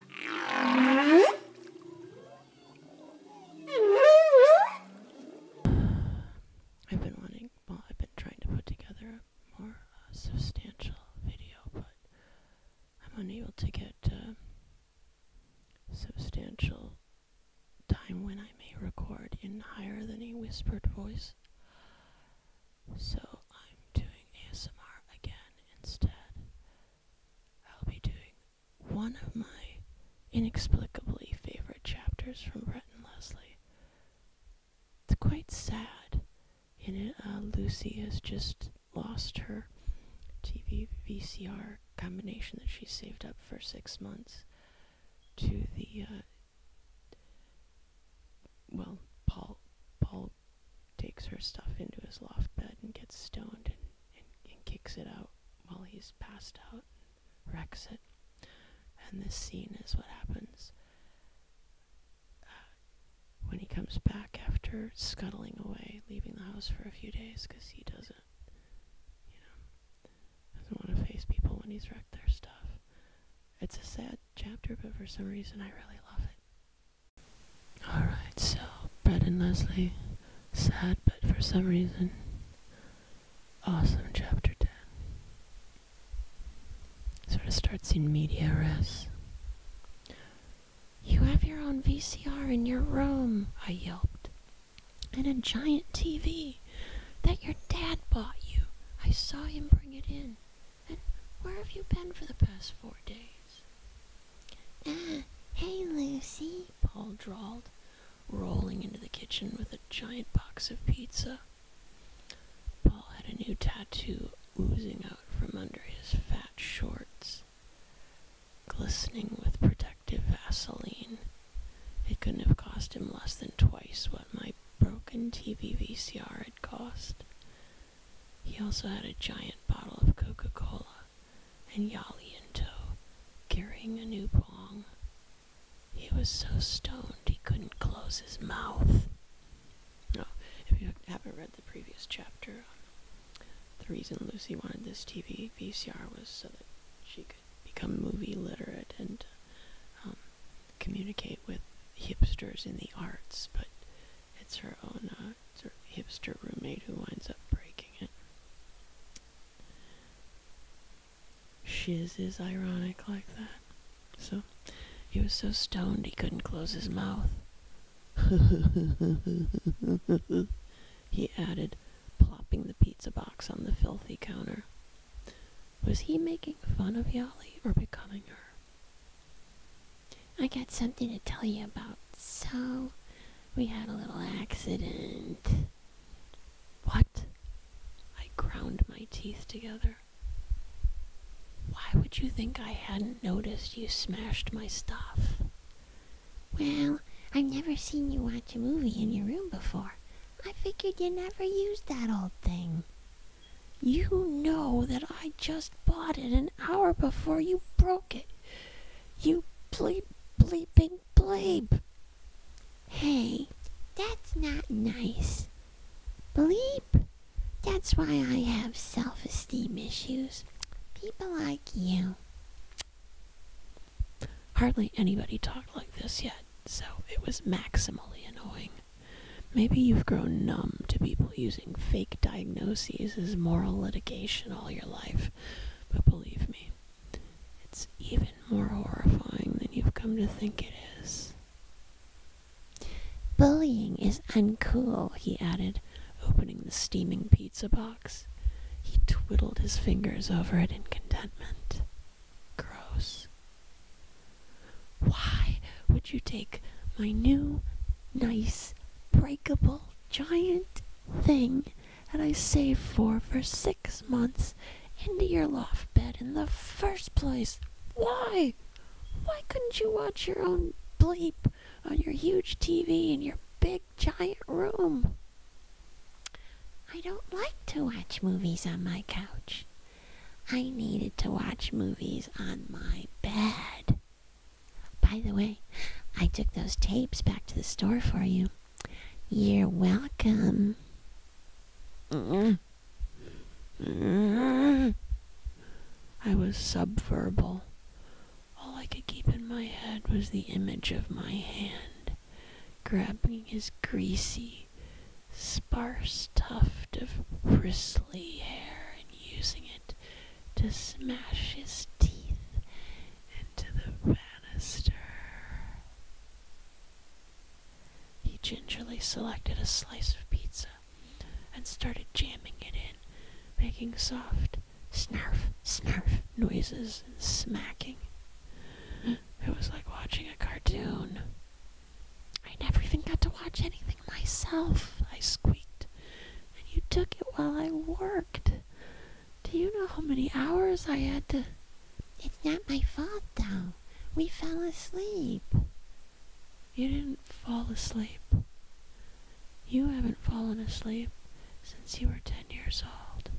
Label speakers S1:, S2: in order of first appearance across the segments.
S1: I've been wanting, well, I've been trying to put together a more uh, substantial video, but I'm unable to get uh, substantial time when I may record in higher than a whispered voice. So I'm doing ASMR again instead. I'll be doing one of my inexplicably favorite chapters from Bret and Leslie. It's quite sad. In it, uh, Lucy has just lost her TV VCR combination that she saved up for six months to the, uh, well, Paul, Paul takes her stuff into his loft bed and gets stoned and, and, kicks it out while he's passed out and wrecks it. And this scene is what happens uh, when he comes back after scuttling away, leaving the house for a few days because he doesn't, you know, doesn't want to face people when he's wrecked their stuff. It's a sad chapter, but for some reason I really love it. Alright, so Brad and Leslie, sad but for some reason, awesome chapter 10. Sort of starts in media res. You have your own VCR in your room, I yelped, and a giant TV that your dad bought you. I saw him bring it in. And where have you been for the past four days? Ah, hey Lucy, Paul drawled, rolling into the kitchen with a giant box of pizza. Paul had a new tattoo oozing out from under his fat shorts, glistening with protective Vaseline. It couldn't have cost him less than twice what my broken TV VCR had cost. He also had a giant bottle of Coca Cola and Yali in tow, carrying a new pong. He was so stoned he couldn't close his mouth. Now, oh, if you haven't read the previous chapter, the reason Lucy wanted this TV VCR was so that she could become movie literate and um, communicate with hipsters in the arts, but it's her own. Uh, it's her hipster roommate who winds up breaking it. Shiz is ironic like that. So, he was so stoned he couldn't close his mouth. he added, plopping the pizza box on the filthy counter. Was he making fun of Yali or becoming her? I got something to tell you about. So, we had a little accident. What? I ground my teeth together. Why would you think I hadn't noticed you smashed my stuff? Well, I've never seen you watch a movie in your room before. I figured you never used that old thing. You know that I just bought it an hour before you broke it. You bleep, bleeping, bleep. Hey, that's not nice. Bleep. That's why I have self esteem issues. People like you. Hardly anybody talked like this yet, so it was maximally annoying. Maybe you've grown numb to people using fake diagnoses as moral litigation all your life, but believe me, it's even more horrifying than you've come to think it is. Bullying is uncool, he added, opening the steaming pizza box. He twiddled his fingers over it in contentment. Gross. Why would you take my new, nice, breakable giant thing that I saved for for six months into your loft bed in the first place. Why? Why couldn't you watch your own bleep on your huge TV in your big giant room? I don't like to watch movies on my couch. I needed to watch movies on my bed. By the way, I took those tapes back to the store for you. You're welcome. I was subverbal. All I could keep in my head was the image of my hand grabbing his greasy, sparse tuft of bristly hair and using it to smash his teeth into the banister. He gingerly selected a slice of pizza and started jamming it in, making soft snarf, snarf noises and smacking. It was like watching a cartoon. I never even got to watch anything myself, I squeaked. And you took it while I worked. Do you know how many hours I had to. It's not my fault, though. We fell asleep. You didn't fall asleep. You haven't fallen asleep since you were 10 years old.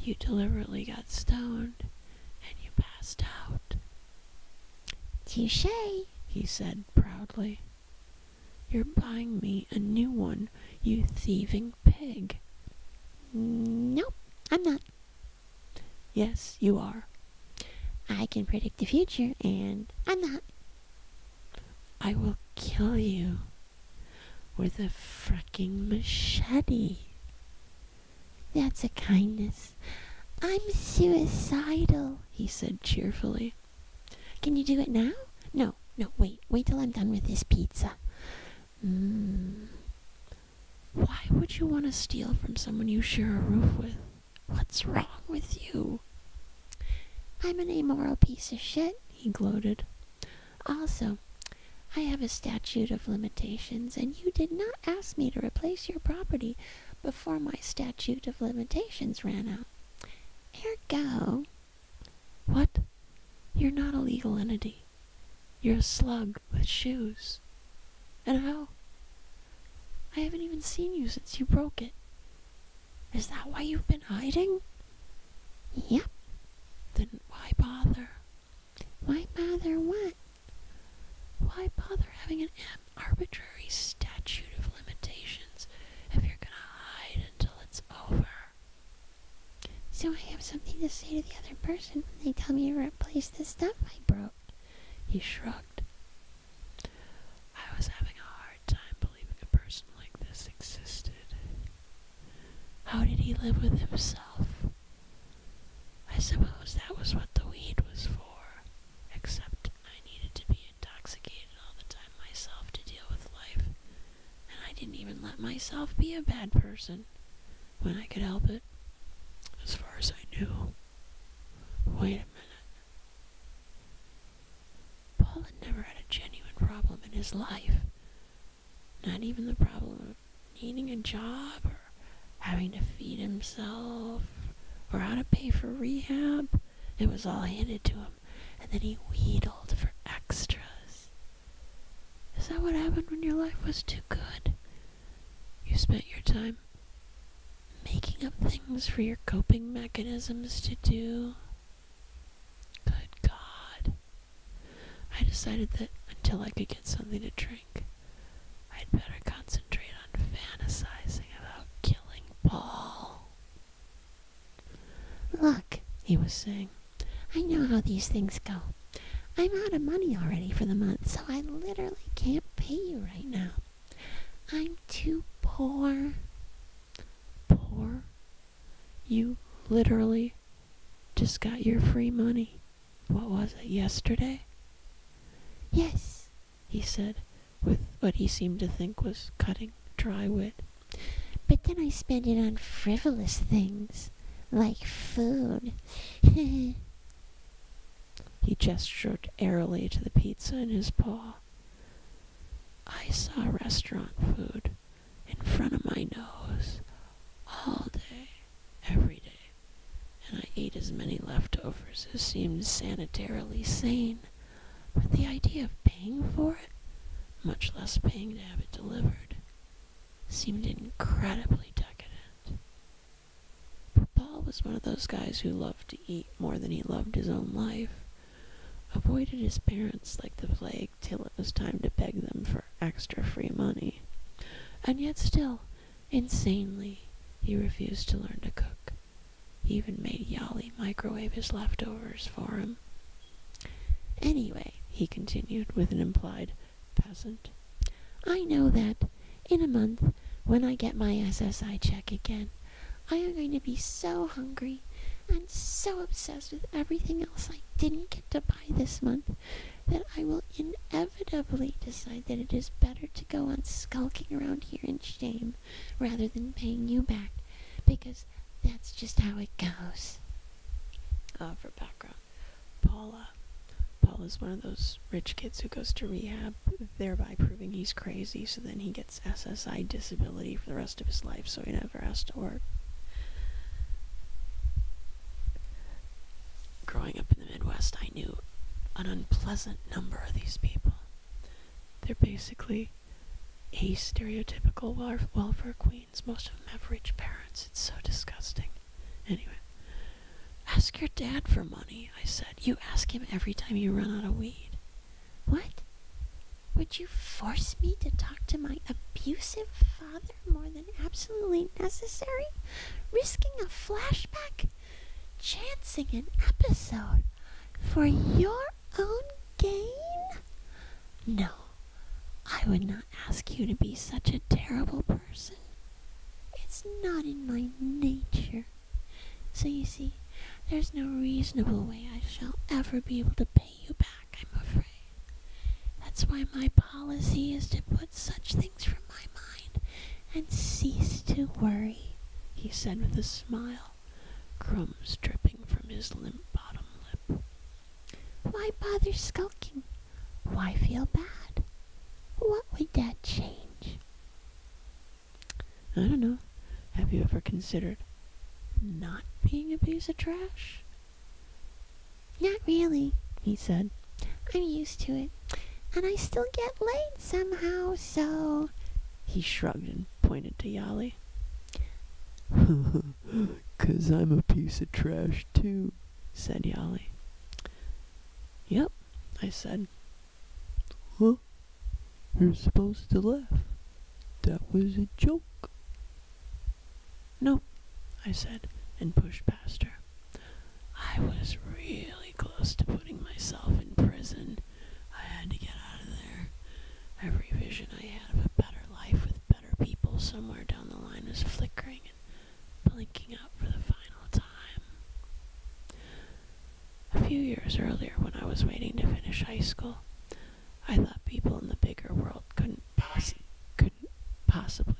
S1: You deliberately got stoned and you passed out. Touche, he said proudly. You're buying me a new one, you thieving pig. Nope, I'm not. Yes, you are. I can predict the future, and I'm not. I will kill you with a fricking machete. That's a kindness. I'm suicidal, he said cheerfully. Can you do it now? No, no, wait. Wait till I'm done with this pizza. Hmm. Why would you want to steal from someone you share a roof with? What's wrong with you? I'm an immoral piece of shit, he gloated. Also, I have a statute of limitations, and you did not ask me to replace your property before my statute of limitations ran out. Ergo, what? You're not a legal entity. You're a slug with shoes. And how? I haven't even seen you since you broke it. Is that why you've been hiding? Yep. Then why bother? Why bother what? Why bother having an arbitrary statute of limitations if you're gonna hide until it's over? So I have something to say to the other person when they tell me to replace the stuff I broke. He shrugged. I was having a hard time believing a person like this existed. How did he live with himself? I suppose that was what the weed was for, except I needed to be intoxicated all the time myself to deal with life and I didn't even let myself be a bad person when I could help it, as far as I knew. Wait a minute. Paul had never had a genuine problem in his life. Not even the problem of needing a job or having to feed himself or how to pay for rehab. It was all handed to him, and then he wheedled for extras. Is that what happened when your life was too good? You spent your time making up things for your coping mechanisms to do? Good God. I decided that until I could get something to drink, I'd better concentrate on fantasizing about killing Paul. Look, he was saying, I know how these things go. I'm out of money already for the month, so I literally can't pay you right now. I'm too poor. Poor? You literally just got your free money. What was it, yesterday? Yes, he said, with what he seemed to think was cutting dry wit. But then I spend it on frivolous things, like food. he gestured airily to the pizza in his paw. I saw restaurant food in front of my nose all day, every day, and I ate as many leftovers as seemed sanitarily sane. But the idea of paying for it much less paying to have it delivered, seemed incredibly decadent. But Paul was one of those guys who loved to eat more than he loved his own life, avoided his parents like the plague till it was time to beg them for extra free money, and yet still, insanely, he refused to learn to cook. He even made Yali microwave his leftovers for him Anyway, he continued with an implied peasant, I know that in a month, when I get my SSI check again, I am going to be so hungry and so obsessed with everything else I didn't get to buy this month that I will inevitably decide that it is better to go on skulking around here in shame rather than paying you back, because that's just how it goes uh, for background. Paula. Paula's one of those rich kids who goes to rehab, thereby proving he's crazy, so then he gets SSI disability for the rest of his life, so he never has to work. Growing up in the Midwest, I knew an unpleasant number of these people. They're basically a stereotypical welfare queen. Most of them have rich parents. It's so disgusting. Anyway, ask your dad for money, I said. You ask him every time you run out of weed. What? Would you force me to talk to my abusive father more than absolutely necessary? Risking a flashback? Chancing an episode for your own gain? No, I would not ask you to be such a terrible person. It's not in my nature. So you see, there's no reasonable way I shall ever be able to pay you back, I'm afraid. That's why my policy is to put such things from my mind and cease to worry, he said with a smile, crumbs dripping from his limp bottom lip. Why bother skulking? Why feel bad? What would that change? I don't know. Have you ever considered not being a piece of trash? Not really, he said. I'm used to it. And I still get laid somehow, so... He shrugged and pointed to Yali. Cause I'm a piece of trash too, said Yali. Yep, I said. Huh? You're supposed to laugh. That was a joke. Nope, I said, and pushed past her. I was really close to putting myself in prison. I had to get out of there. Every vision I had of a better life with better people somewhere down the line was flickering and blinking out for the final time. A few years earlier, when I was waiting to finish high school, I thought people in the bigger world couldn't poss- couldn't possibly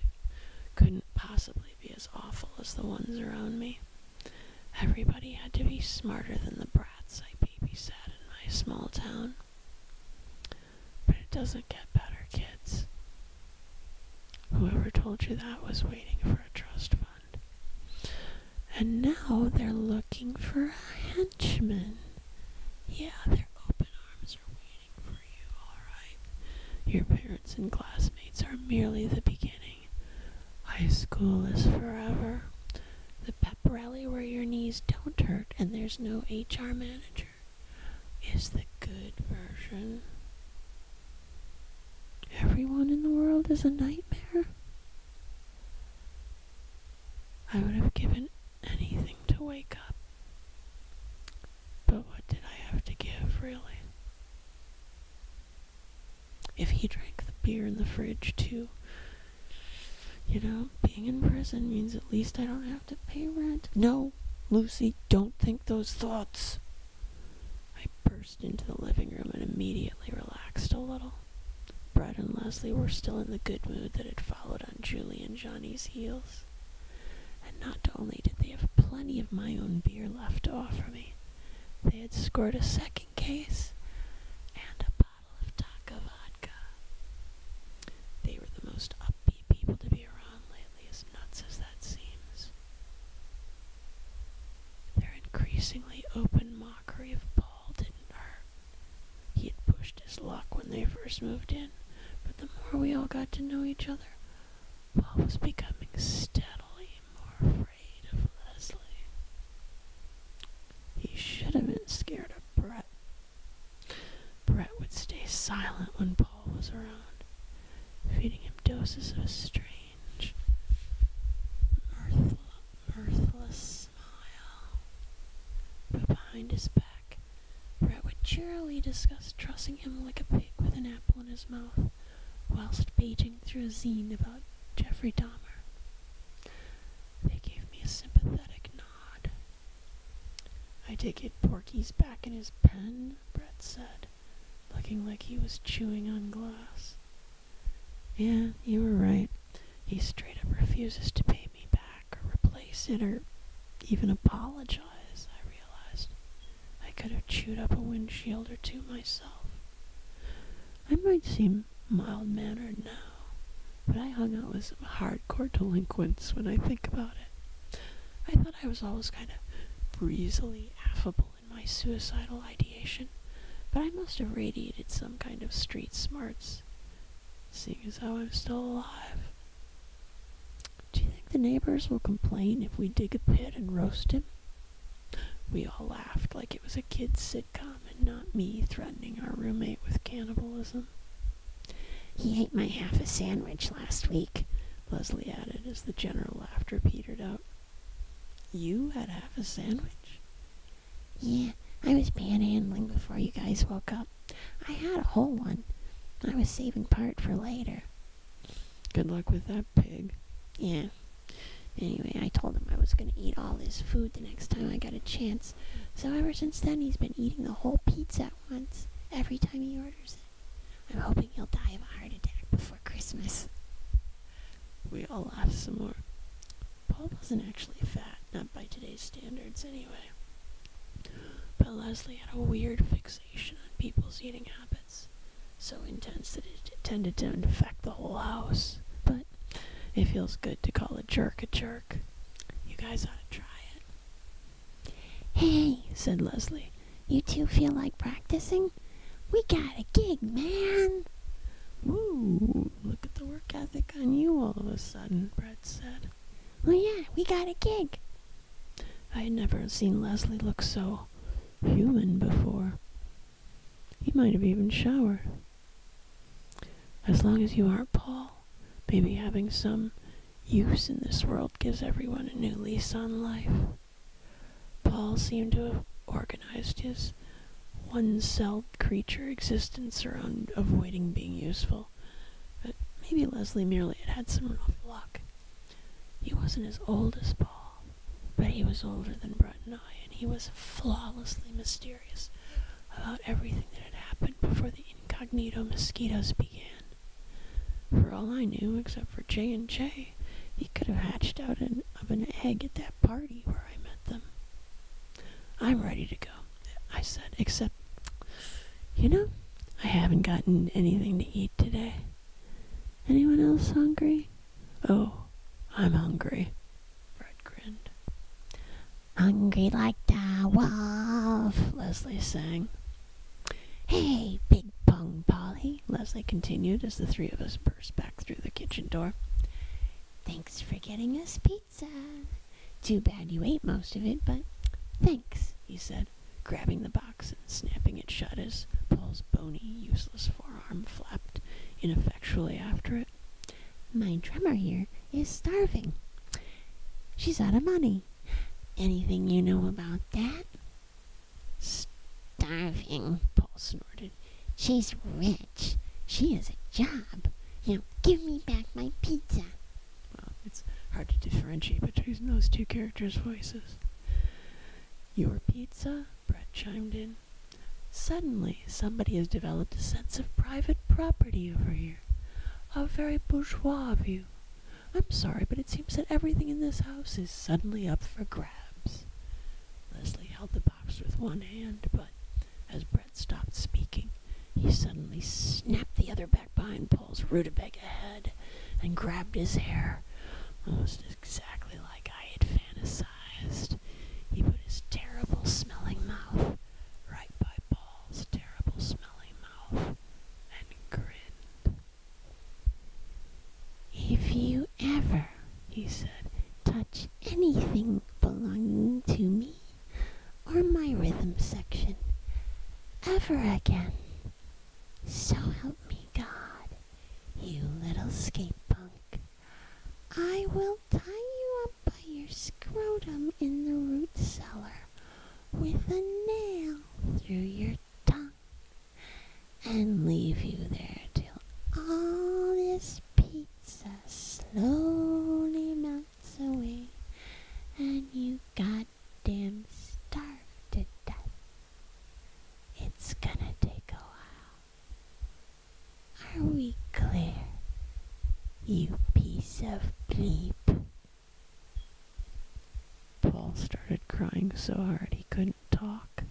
S1: couldn't possibly be as awful as the ones around me. Everybody had to be smarter than the brats I babysat in my small town. But it doesn't get better, kids. Whoever told you that was waiting for a trust fund. And now they're looking for a henchman. Yeah, their open arms are waiting for you, alright? Your parents and classmates are merely the beginning. High school is forever. The pep rally where your knees don't hurt and there's no HR manager is the good version. Everyone in the world is a nightmare. I would have given anything to wake up. But what did I have to give, really? If he drank the beer in the fridge, too, you know, being in prison means at least I don't have to pay rent. No, Lucy, don't think those thoughts. I burst into the living room and immediately relaxed a little. Brett and Leslie were still in the good mood that had followed on Julie and Johnny's heels. And not only did they have plenty of my own beer left to offer me, they had scored a second case and a bottle of Taka vodka. They were the most upbeat people to be around lately, as nuts as that seems. Their increasingly open mockery of Paul didn't hurt. He had pushed his luck when they first moved in, but the more we all got to know each other, Paul was becoming steadily more afraid of Leslie. He should have been scared of Brett, Brett would stay silent when Paul was around, feeding him doses of a strange, mirth mirthless smile. But behind his back, Brett would cheerily discuss trussing him like a pig with an apple in his mouth, whilst paging through a zine about Jeffrey Dahmer. They gave me a sympathetic nod I take it Porky's back in his pen, Brett said, looking like he was chewing on glass. Yeah, you were right. He straight up refuses to pay me back or replace it or even apologize, I realized. I could have chewed up a windshield or two myself. I might seem mild-mannered now, but I hung out with some hardcore delinquents when I think about it. I thought I was always kind of breezily affable in my suicidal ideation, but I must have radiated some kind of street smarts, seeing as how I'm still alive. Do you think the neighbors will complain if we dig a pit and roast him? We all laughed like it was a kid's sitcom and not me threatening our roommate with cannibalism. He ate my half a sandwich last week, Leslie added as the general laughter petered out. You had half a sandwich? Yeah, I was panhandling before you guys woke up. I had a whole one. I was saving part for later. Good luck with that pig. Yeah. Anyway, I told him I was going to eat all his food the next time I got a chance. So ever since then, he's been eating the whole pizza at once, every time he orders murders it. I'm hoping he'll die of a heart attack before Christmas. We all laughed some more. Paul wasn't actually fat, not by today's standards anyway. But Leslie had a weird fixation on people's eating habits, so intense that it tended to infect the whole house. But it feels good to call a jerk a jerk. You guys ought to try it. Hey, said Leslie, you two feel like practicing? We got a gig, man! Woo, look at the work ethic on you all of a sudden, Brett said. "Well, yeah, we got a gig. I had never seen Leslie look so human before. He might have even showered. As long as you aren't Paul, maybe having some use in this world gives everyone a new lease on life. Paul seemed to have organized his one-celled creature existence around avoiding being useful, but maybe Leslie merely had had some rough luck. He wasn't as old as Paul, but he was older than Brett and I, and he was flawlessly mysterious about everything that had happened before the incognito mosquitoes began. For all I knew, except for J and J, he could have hatched out of an egg at that party where I met them. I'm ready to go, I said, except, you know, I haven't gotten anything to eat today. Anyone else hungry? Oh, I'm hungry. Fred grinned. Hungry like the wolf, Leslie sang. Hey, Big Pong Polly, Leslie continued as the three of us burst back through the kitchen door. Thanks for getting us pizza. Too bad you ate most of it, but thanks, he said, grabbing the box and snapping it shut as Paul's bony, useless forearm flapped ineffectually after it. My drummer here is starving. She's out of money. Anything you know about that? Starving, Paul snorted. She's rich. She has a job. Now give me back my pizza. Well, it's hard to differentiate between those two characters' voices. Your pizza? Brett chimed in. Suddenly, somebody has developed a sense of private property over here. A very bourgeois view. I'm sorry, but it seems that everything in this house is suddenly up for grabs. Leslie held the box with one hand, but as Brett stopped speaking, he suddenly snapped the other back behind Paul's rutabaga head and grabbed his hair, almost exactly like I had fantasized. He put his terrible smelling mouth right by Paul's terrible smelling mouth and grinned. If you ever, he said, touch anything belonging to me or my rhythm section ever again, so help me God, you little skate punk, I will tie you up by your scrotum in the root cellar with a nail through your and leave you there till all this pizza slowly melts away and you goddamn starve to death. It's gonna take a while. Are we clear, you piece of bleep? Paul started crying so hard he couldn't talk.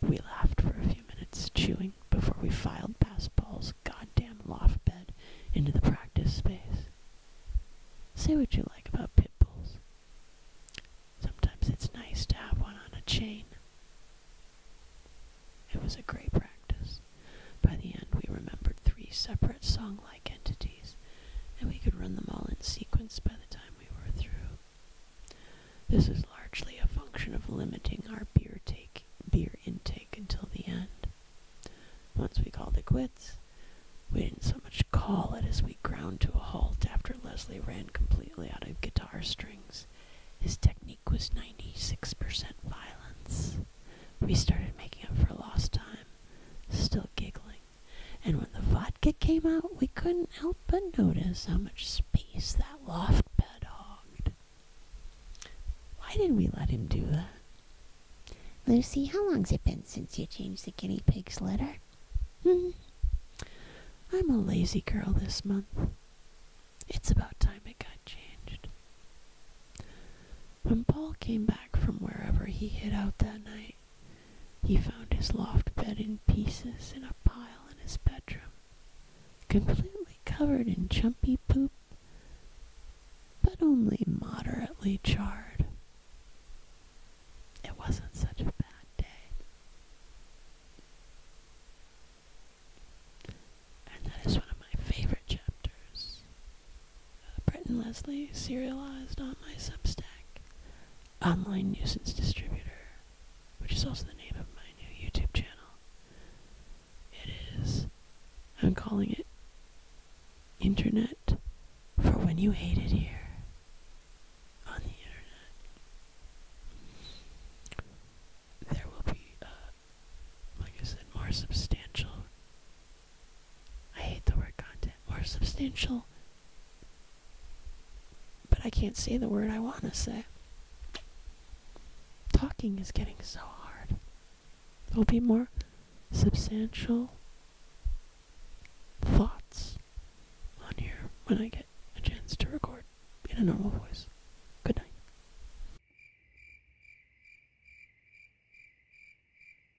S1: We laughed for a few minutes, chewing, before we filed past Paul's goddamn loft bed into the practice space. Say what you like about pit bulls. Sometimes it's nice to have one on a chain. It was a great practice. By the end, we remembered three separate song like entities, and we could run them all in sequence by the time we were through. This is largely a function of limiting our beer take beer intake until the end. Once we called it quits, we didn't so much call it as we ground to a halt after Leslie ran completely out of guitar strings. His technique was 96% violence. We started making up for lost time, still giggling. And when the vodka came out, we couldn't help but notice how much space that loft bed hogged. Why did we let him do that? Lucy, how long's it been since you changed the guinea pig's litter? Hmm. I'm a lazy girl this month. It's about time it got changed. When Paul came back from wherever he hid out that night, he found his loft bed in pieces in a pile in his bedroom, completely covered in chumpy poop, but only moderately charred. It wasn't such a bad day. And that is one of my favorite chapters uh, Brett and Leslie, serialized on my Substack, Online Nuisance Distributor, which is also the name of my new YouTube channel. It is, I'm calling it Internet for When You Hate It Here. On the internet. There will be, uh, like I said, more substantial I hate the word content, More substantial. But I can't say the word I want to say. Talking is getting so hard. i will be more substantial thoughts on here when I get a chance to record in a normal voice. Good night.